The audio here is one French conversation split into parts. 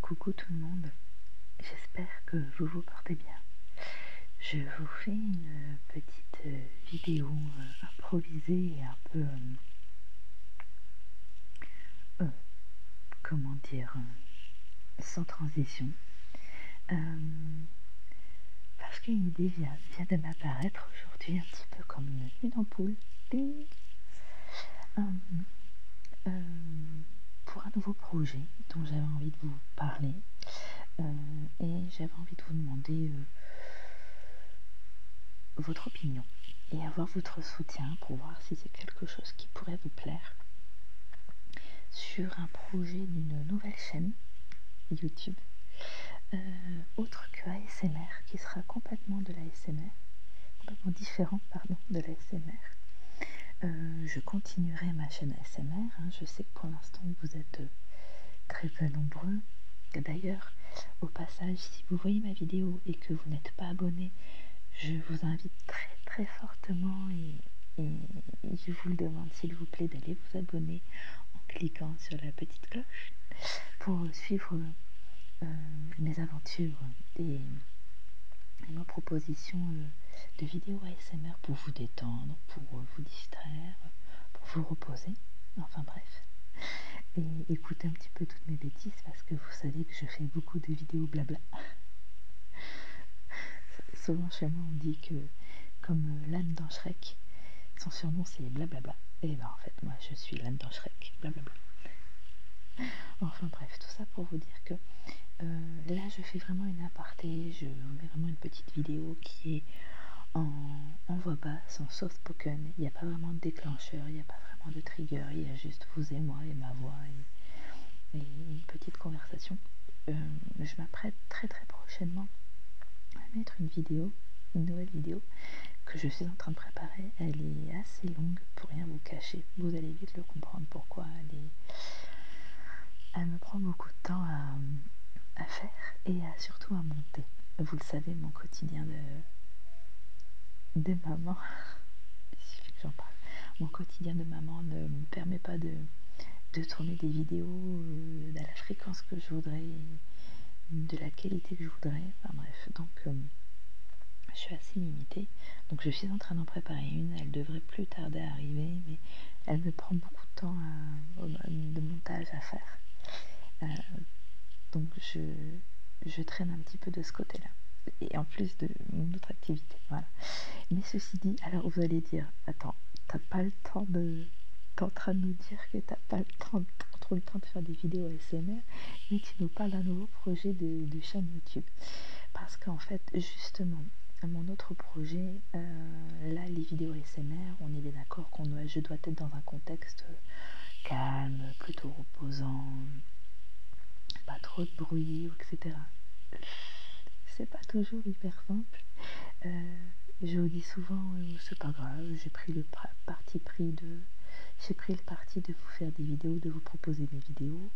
Coucou tout le monde, j'espère que vous vous portez bien. Je vous fais une petite vidéo euh, improvisée et un peu... Euh, euh, comment dire Sans transition. parce qu'une idée vient de m'apparaître aujourd'hui un petit peu comme une ampoule. Euh, euh, pour un nouveau projet dont j'avais envie de vous parler euh, et j'avais envie de vous demander votre opinion et avoir votre soutien pour voir si c'est quelque chose qui pourrait vous plaire sur un projet d'une nouvelle chaîne YouTube autre que ASMR qui sera complètement de SMR, complètement différent, pardon, de la SMR. Euh, je continuerai ma chaîne SMR. Hein. je sais que pour l'instant vous êtes euh, très peu nombreux. D'ailleurs, au passage, si vous voyez ma vidéo et que vous n'êtes pas abonné, je vous invite très très fortement et je vous le demande s'il vous plaît d'aller vous abonner en cliquant sur la petite cloche pour suivre euh, mes aventures et, ma proposition euh, de vidéos ASMR pour vous détendre, pour vous distraire, pour vous reposer, enfin bref. Et écoutez un petit peu toutes mes bêtises parce que vous savez que je fais beaucoup de vidéos blabla. Souvent chez moi on dit que comme euh, l'âne dans Shrek, son surnom c'est blablabla. Et eh ben en fait moi je suis l'âne dans Shrek, blablabla. Enfin bref, tout ça pour vous dire que euh, là je fais vraiment une aparté, je mets vraiment une petite vidéo qui est en, voix basse, en soft spoken, il n'y a pas vraiment de déclencheur, il n'y a pas vraiment de trigger, il y a juste vous et moi et ma voix et, une petite conversation. Euh, je m'apprête très très prochainement à mettre une vidéo, une nouvelle vidéo que je suis en train de préparer, assez longue pour rien vous cacher. Vous allez vite le comprendre pourquoi elle, est... elle me prend beaucoup de temps à, faire et surtout à monter. Vous le savez, mon quotidien de, de maman, j'en parle, mon quotidien de maman ne me permet pas de, tourner des vidéos euh, à la fréquence que je voudrais de la qualité que je voudrais. Enfin bref, donc euh, je suis assez limitée. Donc je suis en train d'en préparer une. Elle devrait plus tarder à arriver, mais elle me prend beaucoup de temps de montage à faire. Euh, donc je, traîne un petit peu de ce côté-là. Et en plus de mon autre activité. Voilà. Mais ceci dit, alors vous allez dire, attends, t'as pas le temps de... T'es en train de nous dire que t'as pas le temps de faire des vidéos ASMR, mais tu nous parles d'un nouveau projet de, chaîne YouTube. Parce qu'en fait, justement, mon autre projet, euh, là, les vidéos ASMR, on est bien d'accord qu'on je dois être dans un contexte euh, calme, plutôt reposant, pas trop de bruit, etc. C'est pas toujours hyper simple. Euh, je vous dis souvent, c'est pas grave, j'ai pris le parti pris j'ai pris le parti de vous faire des vidéos, de vous proposer des vidéos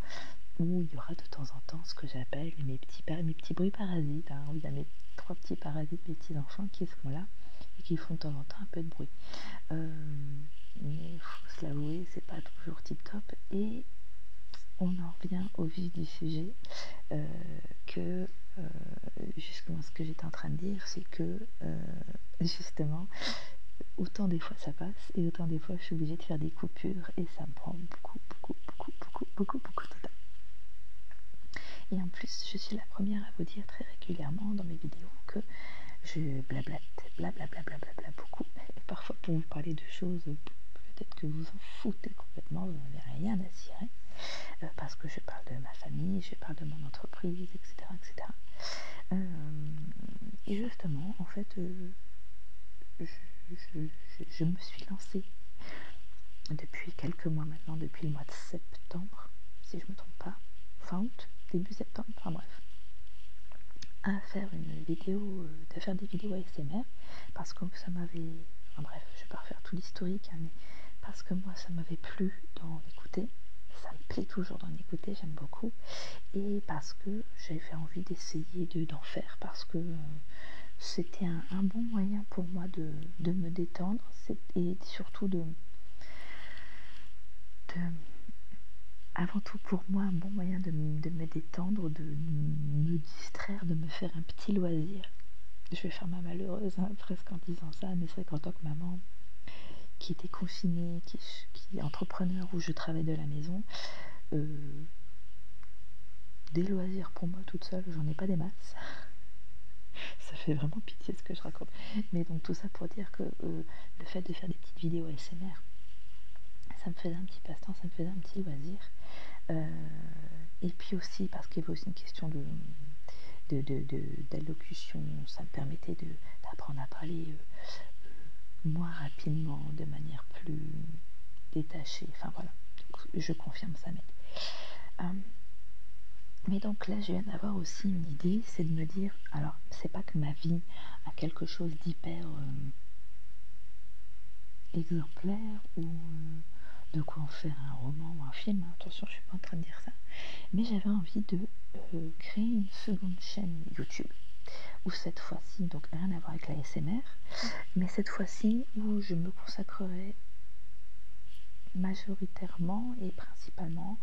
où il y aura de temps en temps ce que j'appelle mes petits, petits bruits parasites, hein, mes trois petits parasites, mes petits enfants qui sont là et qui font de temps en temps un peu de bruit. Euh, mais il faut se l'avouer, c'est pas toujours tip top. Et on en revient au vif du sujet euh, que euh, euh, justement ce que j'étais en train de dire, c'est que euh, justement, autant des fois ça passe et autant des fois je suis obligée de faire des coupures et ça me prend beaucoup, beaucoup, beaucoup, beaucoup, beaucoup, beaucoup de temps. Et en plus, je suis la première à vous dire très régulièrement dans mes vidéos que je blablate, blablabla, blablabla beaucoup. Et parfois, pour vous parler de choses, peut-être que vous en foutez complètement, vous n'avez rien à cirer. Euh, parce que je parle de ma famille, je parle de mon entreprise, etc. etc. Euh, et justement, en fait, euh, je, me suis lancée depuis quelques mois maintenant, depuis le mois de septembre, si je ne me trompe pas, fin août, début septembre, enfin bref, à faire une vidéo, faire des vidéos ASMR, parce que ça m'avait, enfin bref, je vais pas refaire tout l'historique, hein, mais parce que moi ça m'avait plu d'en écouter. Ça me plaît toujours d'en écouter, j'aime beaucoup. Et parce que j'avais envie d'essayer d'en faire, parce que euh, c'était un, bon moyen pour moi de, me détendre et surtout de, Avant tout pour moi un bon moyen de, me détendre, de, me distraire, de me faire un petit loisir. Je faire ma malheureuse hein, presque en disant ça, mais c'est vrai qu'en tant que maman qui était confinée, qui, qui est entrepreneur où je travaille de la maison, euh, des loisirs pour moi toute seule, j'en ai pas des masses. ça fait vraiment pitié ce que je raconte. Mais donc tout ça pour dire que euh, le fait de faire des petites vidéos ASMR, ça me faisait un petit passe-temps, ça me faisait un petit loisir. Euh, et puis aussi parce qu'il y avait aussi une question de, de, d'allocution, ça me permettait d'apprendre à parler euh, euh, moins rapidement, de manière plus détachée. Enfin voilà, je confirme ça. Mais, euh, mais donc là, je viens d'avoir aussi une idée, c'est de me dire, alors c'est pas que ma vie a quelque chose d'hyper exemplaire ou de en faire un roman ou un film, attention je suis pas en train de dire ça, mais j'avais envie de euh, créer une seconde chaîne YouTube, où cette fois-ci, donc rien à voir avec la SMR, mais cette fois-ci où je me consacrerai majoritairement et principalement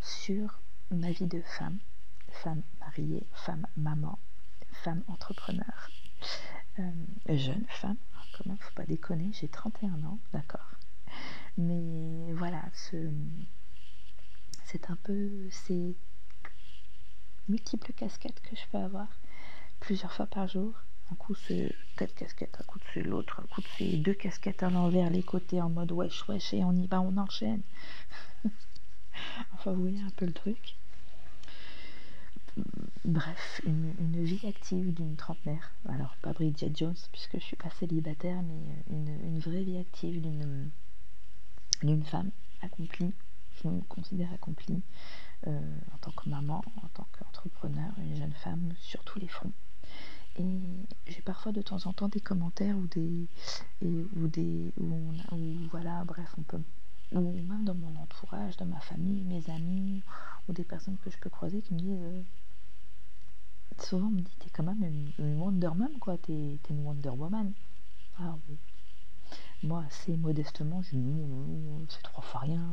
sur ma vie de femme, femme mariée, femme maman, femme entrepreneur, euh, jeune femme, comment hein, faut pas connais, j'ai 31 ans, d'accord. Mais voilà, c'est un peu ces multiples casquettes que je peux avoir plusieurs fois par jour. Un coup c'est quatre casquette, un coup c'est l'autre, un coup c'est deux casquettes à l'envers, les côtés en mode wesh wesh et on y va, on enchaîne. enfin vous voyez un peu le truc. Bref, une, vie active d'une trentenaire. Alors pas, Jones, puisque je suis pas célibataire, mais euh, une, vraie vie active euh, d'une femme accomplie. Je me considère accomplie euh, en tant que maman, en tant qu'entrepreneur, une jeune femme sur tous les fronts. Et j'ai parfois de temps en temps des commentaires ou des et, ou des voilà bref on peut ou même dans mon entourage, dans ma famille, mes amis ou des personnes que je peux croiser qui me disent euh, souvent, on me dit T'es quand même une, Wonder quoi. T'es une Wonder Woman. Ah, moi, assez modestement, je dis C'est trois fois rien.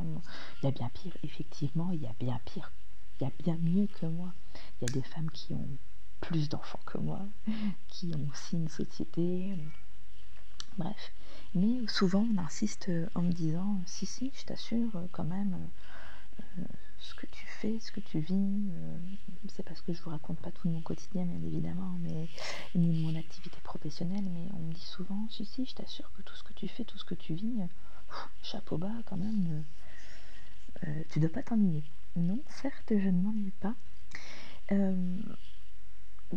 Il y a bien pire, effectivement, il y a bien pire. Il y a bien mieux que moi. Il y a des femmes qui ont plus d'enfants que moi, qui ont aussi une société. Bref. Mais souvent, on insiste euh, en me disant euh, si si je t'assure euh, quand même ce que tu fais ce que tu vis c'est parce que je vous raconte pas tout mon quotidien bien évidemment mais ni mon activité professionnelle mais on me dit souvent si si je t'assure que tout ce que tu fais tout ce que tu vis chapeau bas quand même tu dois pas t'ennuyer non certes je ne m'ennuie pas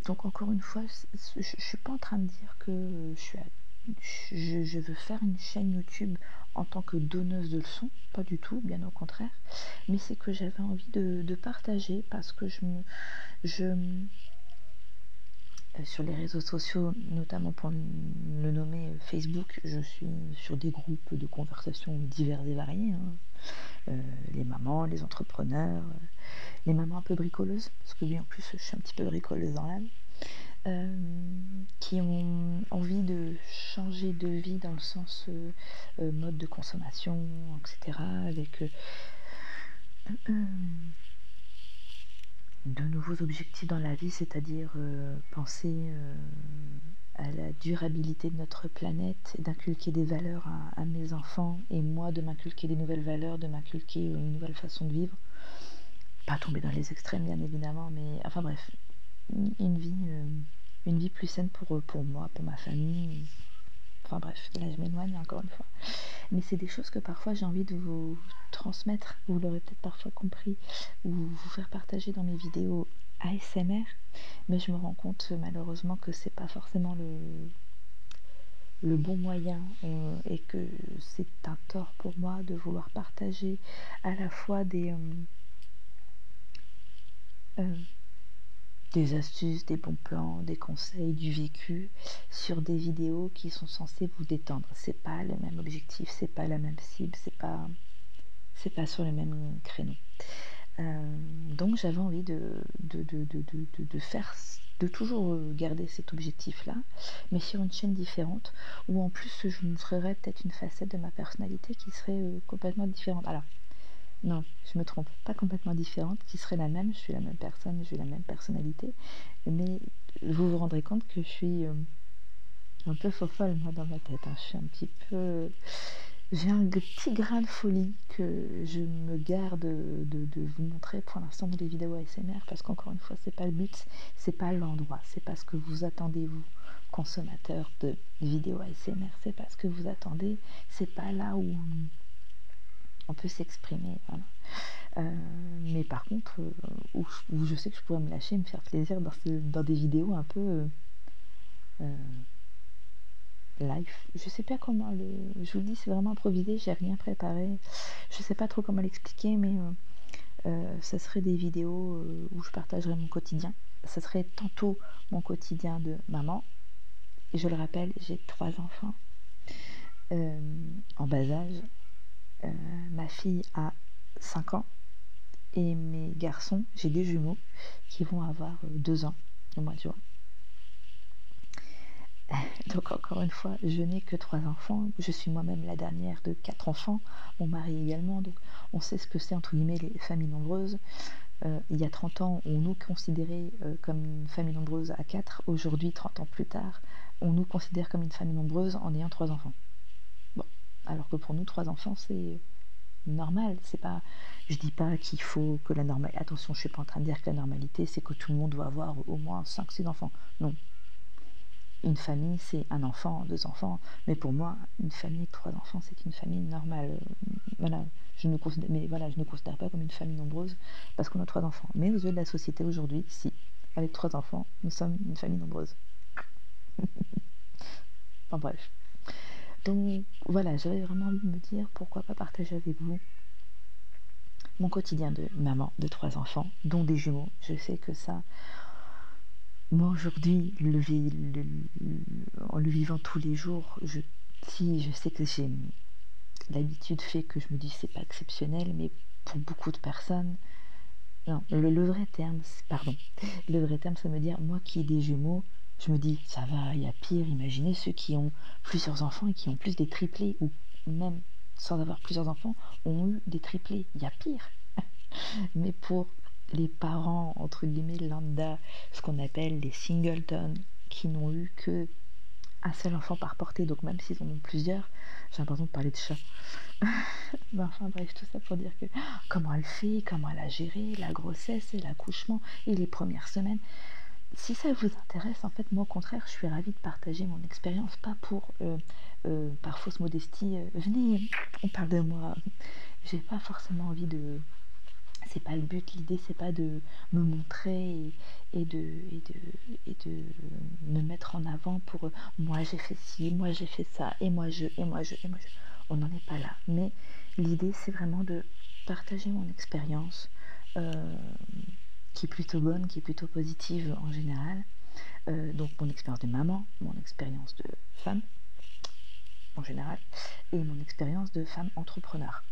donc encore une fois je, suis pas en train de dire que je suis à, je, je veux faire une chaîne YouTube en tant que donneuse de leçons, pas du tout, bien au contraire, mais c'est que j'avais envie de, partager parce que je me... Je, euh, sur les réseaux sociaux, notamment pour le nommer Facebook, je suis sur des groupes de conversations divers et variés. Hein. Euh, les mamans, les entrepreneurs, euh, les mamans un peu bricoleuses, parce que oui, en plus, je suis un petit peu bricoleuse dans l'âme. Euh, qui ont envie de changer de vie dans le sens euh, euh, mode de consommation, etc. avec de nouveaux objectifs dans la vie, c'est-à-dire penser à la durabilité de notre planète, d'inculquer des valeurs à mes enfants et moi de m'inculquer des nouvelles valeurs, de m'inculquer une nouvelle façon de vivre pas tomber dans les extrêmes, bien évidemment, mais enfin bref, une, vie, euh, une vie plus saine pour, euh, pour moi, pour ma famille. Enfin bref, là je m'éloigne encore une fois. Mais c'est des choses que parfois j'ai envie de vous transmettre. Vous l'aurez peut-être parfois compris ou vous faire partager dans mes vidéos ASMR. Mais je me rends compte malheureusement que c'est pas forcément le, le bon moyen euh, et que c'est un tort pour moi de vouloir partager à la fois des, euh, euh, des astuces, des bons plans, des conseils, du vécu sur des vidéos qui sont censées vous détendre. C'est pas le même objectif, c'est pas la même cible, c'est pas c'est pas sur le même créneau. Euh, donc j'avais envie de, de, de, de, de faire toujours euh, garder cet objectif-là, mais sur une chaîne différente, où en plus je montrerai peut-être une facette de ma personnalité qui serait euh, complètement différente. Alors, non, je me trompe, pas complètement différente, qui serait la même, je suis la même personne, j'ai la même personnalité, mais vous vous rendrez compte que je suis euh, un peu folle moi dans ma tête, hein. je suis un petit peu... J'ai un petit grain de folie que je me garde de, vous montrer pour l'instant dans les vidéos ASMR parce qu'on encore une fois c'est pas le but, c'est pas l'endroit, c'est pas ce que vous attendez vous consommateur de vidéos ASMR, c'est pas ce que vous attendez, c'est pas là où on peut s'exprimer. Euh, mais par contre, euh, je, sais que je pourrais me lâcher, me faire plaisir dans, des vidéos un peu euh, live. Je sais pas comment le. Je vous le dis, c'est vraiment improvisé, j'ai rien préparé. Je sais pas trop comment l'expliquer, mais ce euh, euh, serait des vidéos euh, où je partagerai mon quotidien. Ça serait tantôt mon quotidien de maman. Et je le rappelle, j'ai trois enfants en bas âge. ma fille a 5 ans et mes garçons, j'ai des jumeaux qui vont avoir 2 ans au mois de juin. Donc encore fois, je n'ai que trois enfants. Je suis moi-même la dernière de quatre enfants. on marie également. Donc, on sait ce que c'est, entre guillemets, les familles nombreuses. Euh, il y a 30 ans, on nous considérait euh, comme une famille nombreuse à quatre. Aujourd'hui, 30 ans plus tard, on nous considère comme une famille nombreuse en ayant trois enfants. Bon. Alors que pour nous, trois enfants, c'est normal. C'est pas, je dis pas qu'il faut que la normalité. Attention, je suis pas en train de dire que la normalité, c'est que tout le monde doit avoir au moins cinq, 5, enfants. Non. Une famille, c'est un enfant, deux enfants. Mais pour moi, une famille, trois enfants, c'est une famille normale. Euh, voilà, je ne mais voilà, je ne considère pas comme une famille nombreuse parce qu'on a trois enfants. Mais aux yeux de la société aujourd'hui, si, avec trois enfants, nous sommes une famille nombreuse. enfin bref. Donc voilà, j'avais vraiment envie de me dire pourquoi papa avec vous mon quotidien de maman de trois enfants, dont des jumeaux. Je sais que ça, moi aujourd'hui, le, ville en le vivant tous les jours, je, si je sais que j'ai l'habitude fait que je me dis c'est pas exceptionnel, mais pour beaucoup de personnes, le, vrai terme, pardon, le vrai terme, ça me dire moi qui ai des jumeaux, je me dis ça va, il y a pire. Imaginez ceux qui ont plusieurs enfants et qui ont plus triplés ou même sans avoir plusieurs enfants ont eu des triplés. Il y a pire. Mais pour les parents, entre guillemets, lambda, ce qu'on appelle les singletons, qui n'ont eu que un seul enfant par portée, donc même s'ils en ont plusieurs, j'ai l'impression de parler de chat. enfin bref, tout ça pour dire que oh, comment elle fait, comment elle a géré la grossesse et l'accouchement et les premières semaines. Si ça vous intéresse, en fait, moi au contraire, je suis ravie de partager mon expérience, pas pour, euh, euh, par fausse modestie, euh, venez, on parle de moi. J'ai pas forcément envie de. C'est pas le but, l'idée c'est pas de me montrer et, de, et, de, me mettre en avant pour moi j'ai fait ci, moi j'ai fait ça, et moi je, et moi je, et moi je. On n'en est pas là. Mais l'idée c'est vraiment de partager mon expérience qui bonne, qui est plutôt positive en général. Euh, donc mon expérience de maman, mon expérience de femme en général, et mon expérience de femme entrepreneur.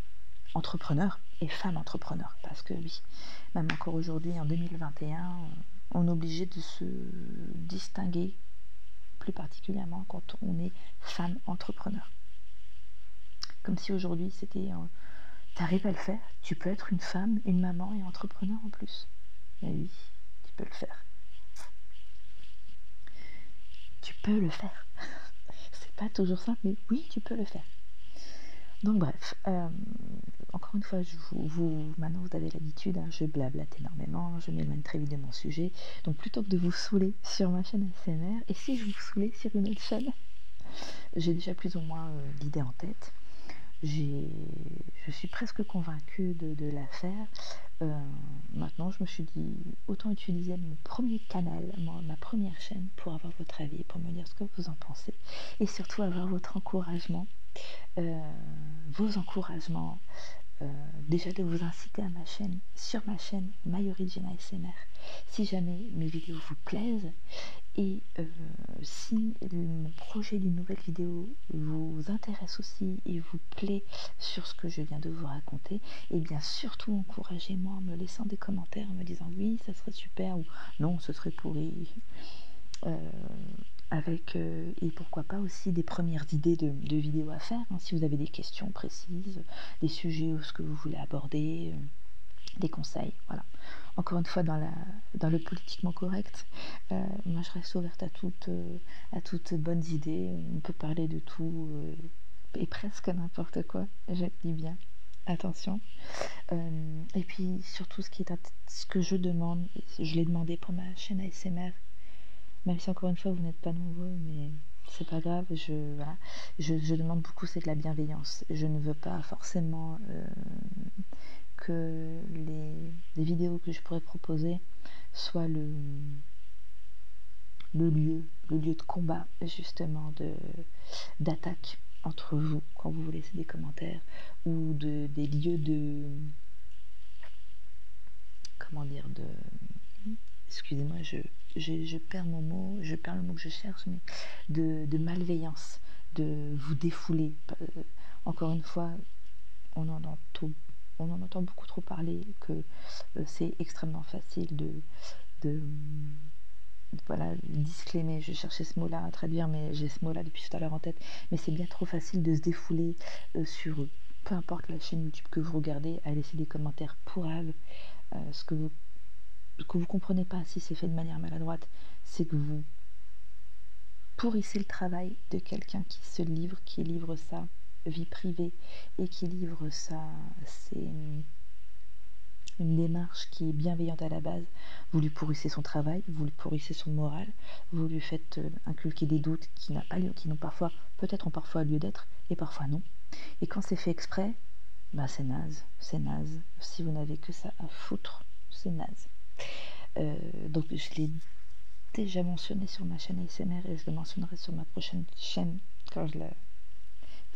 Entrepreneur et femme entrepreneur, parce que oui, même encore aujourd'hui, en 2021, on est obligé de se distinguer plus particulièrement quand on est femme entrepreneur. Comme si aujourd'hui c'était. T'arrives à le faire, tu peux être une femme, une maman et entrepreneur en plus. Et bah oui, tu peux le faire. Tu peux le faire. C'est pas toujours simple, mais oui, tu peux le faire. Donc bref, euh, encore une fois, je vous, maintenant vous avez l'habitude, hein, je blablate énormément, je m'éloigne très vite de mon sujet. Donc plutôt que de vous saouler sur ma chaîne ASMR, si je vous soulais sur une autre chaîne J'ai déjà plus ou moins euh, l'idée en tête. Je suis presque convaincue de, la faire. Euh, maintenant, je me suis dit, autant utiliser mon premier canal, ma, première chaîne, pour avoir votre avis, pour me dire ce que vous en pensez, et surtout avoir votre encouragement, euh, vos encouragements, déjà de vous inciter à ma chaîne, sur ma chaîne, Mayoris si jamais mes vidéos vous plaisent et euh, si mon projet d'une nouvelle vidéo vous intéresse aussi et vous plaît sur ce que je viens de vous raconter et eh bien surtout encouragez-moi en me laissant des commentaires en me disant oui ça serait super ou non ce serait pourri euh, avec euh, et pourquoi pas aussi des premières idées de, vidéos à faire hein, si vous avez des questions précises des sujets ou ce que vous voulez aborder, euh, des conseils, voilà. Encore une fois, dans, la, dans le politiquement correct, euh, moi je reste ouverte à, euh, à toutes bonnes idées, on peut parler de tout et presque n'importe quoi, je dis bien, attention. et puis surtout, ce, qui est ce que je demande, je l'ai demandé pour ma chaîne ASMR, même si encore une fois vous n'êtes pas nombreux, mais c'est pas grave je, demande beaucoup, c'est de la bienveillance. Je ne veux pas forcément euh, que les, vidéos que je pourrais proposer soient le, le lieu, le lieu de combat justement d'attaque entre vous quand vous vous laissez des commentaires ou de, des lieux de comment dire de excusez-moi je, je, perds mon mot pas le mot que je cherche, mais de, malveillance, de vous défouler. Euh, encore une fois, on en, entend, on en entend beaucoup trop parler que euh, c'est extrêmement facile de, euh, voilà, disclaimer. Je cherchais ce mot-là à traduire, mais j'ai ce mot-là depuis tout à l'heure en tête. Mais c'est bien trop facile de se défouler sur peu importe la chaîne YouTube que vous regardez, à laisser des commentaires pourrave euh, ce que vous comprenez pas si c'est fait de manière maladroite, c'est que vous pourrissez le travail de quelqu'un qui se livre, qui livre sa vie privée et qui livre sa c'est une démarche qui est bienveillante à la base, vous lui pourrissez son travail, vous lui pourrissez son moral, vous lui faites euh, inculquer des doutes qui n'ont parfois peut-être ont parfois lieu d'être et parfois non. Et quand c'est fait exprès, bah c'est naze, c'est naze. Si vous n'avez que ça à foutre, c'est naze. Euh, donc je l'ai déjà mentionné sur ma chaîne ASMR et je le mentionnerai sur ma prochaine chaîne quand je la...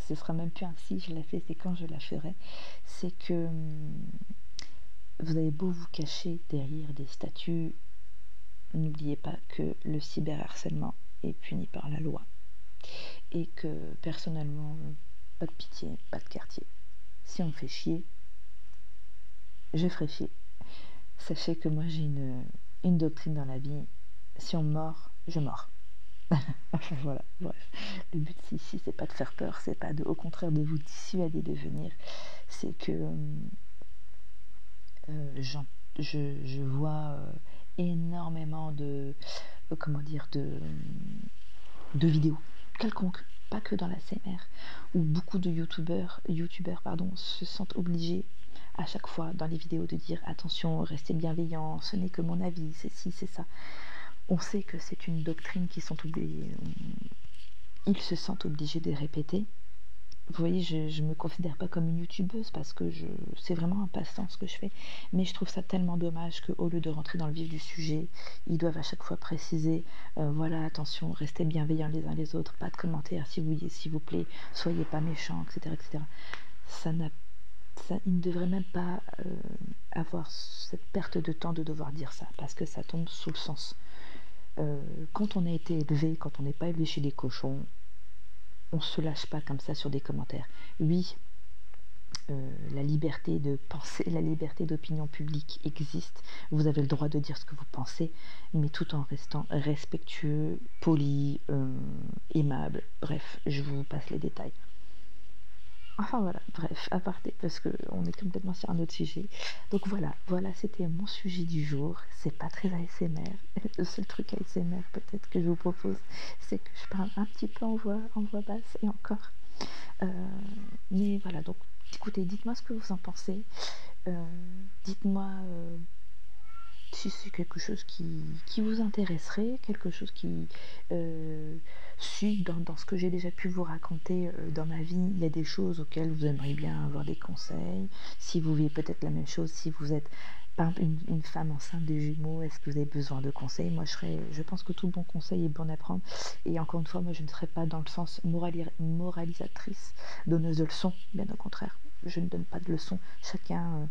Ce sera même plus ainsi, je la fais, c'est quand je la ferai. C'est que hum, vous avez beau vous cacher derrière des statues, n'oubliez pas que le cyberharcèlement est puni par la loi et que personnellement, pas de pitié, pas de quartier. Si on fait chier, je ferai chier. Sachez que moi j'ai une, doctrine dans la vie, si on mord, je mords. voilà, bref. Le but ici, c'est pas de faire peur, c'est pas de, au contraire de vous dissuader de venir, c'est que euh, je vois euh, énormément de euh, comment dire de, vidéos quelconques, pas que dans la CMR, où beaucoup de youtubeurs, youtubeurs pardon, se sentent obligés à chaque fois dans les vidéos de dire attention, restez bienveillants, ce n'est que mon avis, c'est ci, c'est ça. On sait que c'est une doctrine qui sont ils se sentent obligés de répéter. Vous voyez, je me considère pas comme une youtubeuse parce que c'est vraiment un passe ce que je fais mais je trouve ça tellement dommage qu'au lieu de rentrer dans le vif du sujet ils doivent à chaque fois préciser euh, voilà attention restez bienveillants les uns les autres pas de commentaires s'il vous, plaît soyez pas méchants etc Ils ça n'a ne devrait même pas euh, avoir cette perte de temps de devoir dire ça parce que ça tombe sous le sens euh, quand on a été élevé, quand on n'est pas élevé chez les cochons, on se lâche pas comme ça sur des commentaires. Oui, euh, la liberté de penser, la liberté d'opinion publique existe. Vous avez le droit de dire ce que vous pensez, mais tout en restant respectueux, poli, euh, aimable. Bref, je vous passe les détails. Enfin voilà, bref, à part parce qu'on est complètement sur un autre sujet. Donc voilà, voilà, c'était mon sujet du jour. C'est pas très ASMR le seul truc ASMR peut-être que je vous propose, c'est que je parle un petit peu en voix, en voix basse et encore. Euh, mais voilà, donc écoutez, dites-moi ce que vous en pensez. Euh, dites-moi euh, si c'est quelque chose qui, vous intéresserait, quelque chose qui... suit dans, ce que j'ai déjà pu vous raconter dans ma vie, il y a des choses auxquelles vous aimeriez bien avoir des conseils, si vous vivez peut-être la même chose, si vous êtes pas une, femme enceinte des jumeaux, est-ce que vous avez besoin de conseils Moi, je, serais, je pense que tout bon conseil est bon à prendre. Et encore une fois, moi, je ne serais pas dans le sens moralisatrice, donneuse de leçons. Bien au contraire, je ne donne pas de leçons. Chacun, euh,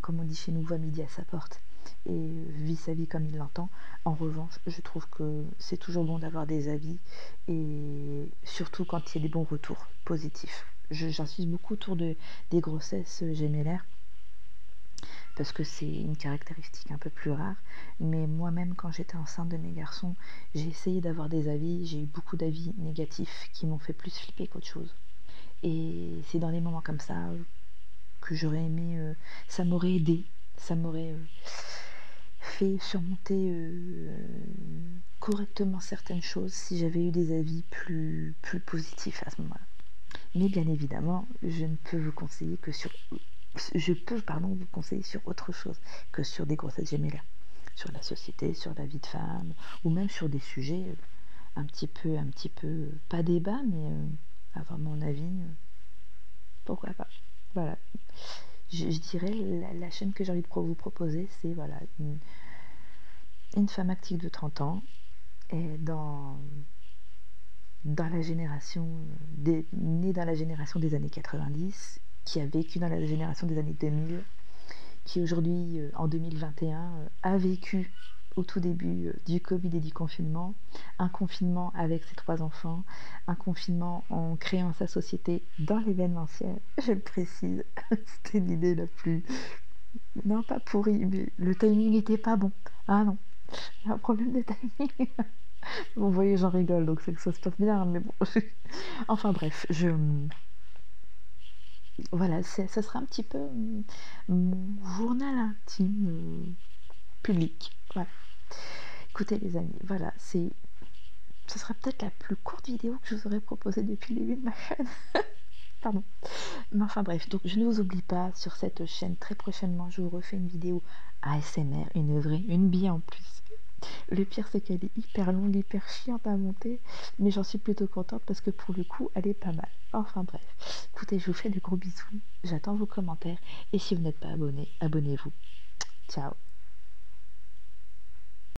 comme on dit chez nous, voit midi à sa porte et euh, vit sa vie comme il l'entend. En revanche, je trouve que c'est toujours bon d'avoir des avis et surtout y des bons retours positifs. J'insiste beaucoup autour des grossesses l'air, euh, parce que c'est une caractéristique un peu plus rare. Mais moi-même, quand j'étais enceinte de mes garçons, j'ai essayé d'avoir des avis. J'ai eu beaucoup d'avis négatifs qui m'ont fait plus flipper qu'autre chose. Et c'est dans des moments comme ça euh, que j'aurais aimé, euh, ça m'aurait aidé, ça m'aurait fait surmonter correctement certaines choses si j'avais eu des avis plus, plus positifs à ce moment-là. Mais bien évidemment, je ne peux vous conseiller que sur... Je peux, pardon, vous conseiller sur autre chose que sur des grossesses e là, Sur la société, sur la vie de femme, ou même sur des sujets euh, un petit peu, un petit peu, pas débat, mais euh, avoir mon avis, euh, pourquoi pas. Voilà. Je, dirais la, la chaîne que j'ai envie de proposer proposer, c'est voilà, une, femme active de 30 ans et dans, dans la génération des, née dans la génération des années 90, qui a vécu dans la génération des années 2000, qui aujourd'hui euh, en 2021 euh, a vécu au tout début euh, du Covid et du confinement, un confinement avec ses trois enfants, un confinement en créant sa société dans l'événementiel, je le précise. C'était l'idée la plus. Non, pas pourrie, mais le timing n'était pas bon. Ah non, j'ai un problème de timing. vous voyez, j'en rigole, donc c'est que ça se passe bien, mais bon. enfin bref, je. Voilà, ça sera un petit peu mon journal intime euh, public. Voilà. Écoutez les amis, voilà, c'est ce sera peut-être la plus courte vidéo que je vous aurais proposée depuis le de ma chaîne. Pardon. Mais enfin bref, donc je ne vous oublie pas sur cette chaîne. Très prochainement, je vous refais une vidéo ASMR, une vraie, une bille en plus. Le pire, c'est qu'elle est hyper longue, hyper chiante à monter, mais j'en suis plutôt contente parce que pour le coup, elle est pas mal. Enfin bref, écoutez, je vous fais de gros bisous, j'attends vos commentaires, et si vous n'êtes pas abonné, abonnez-vous. Ciao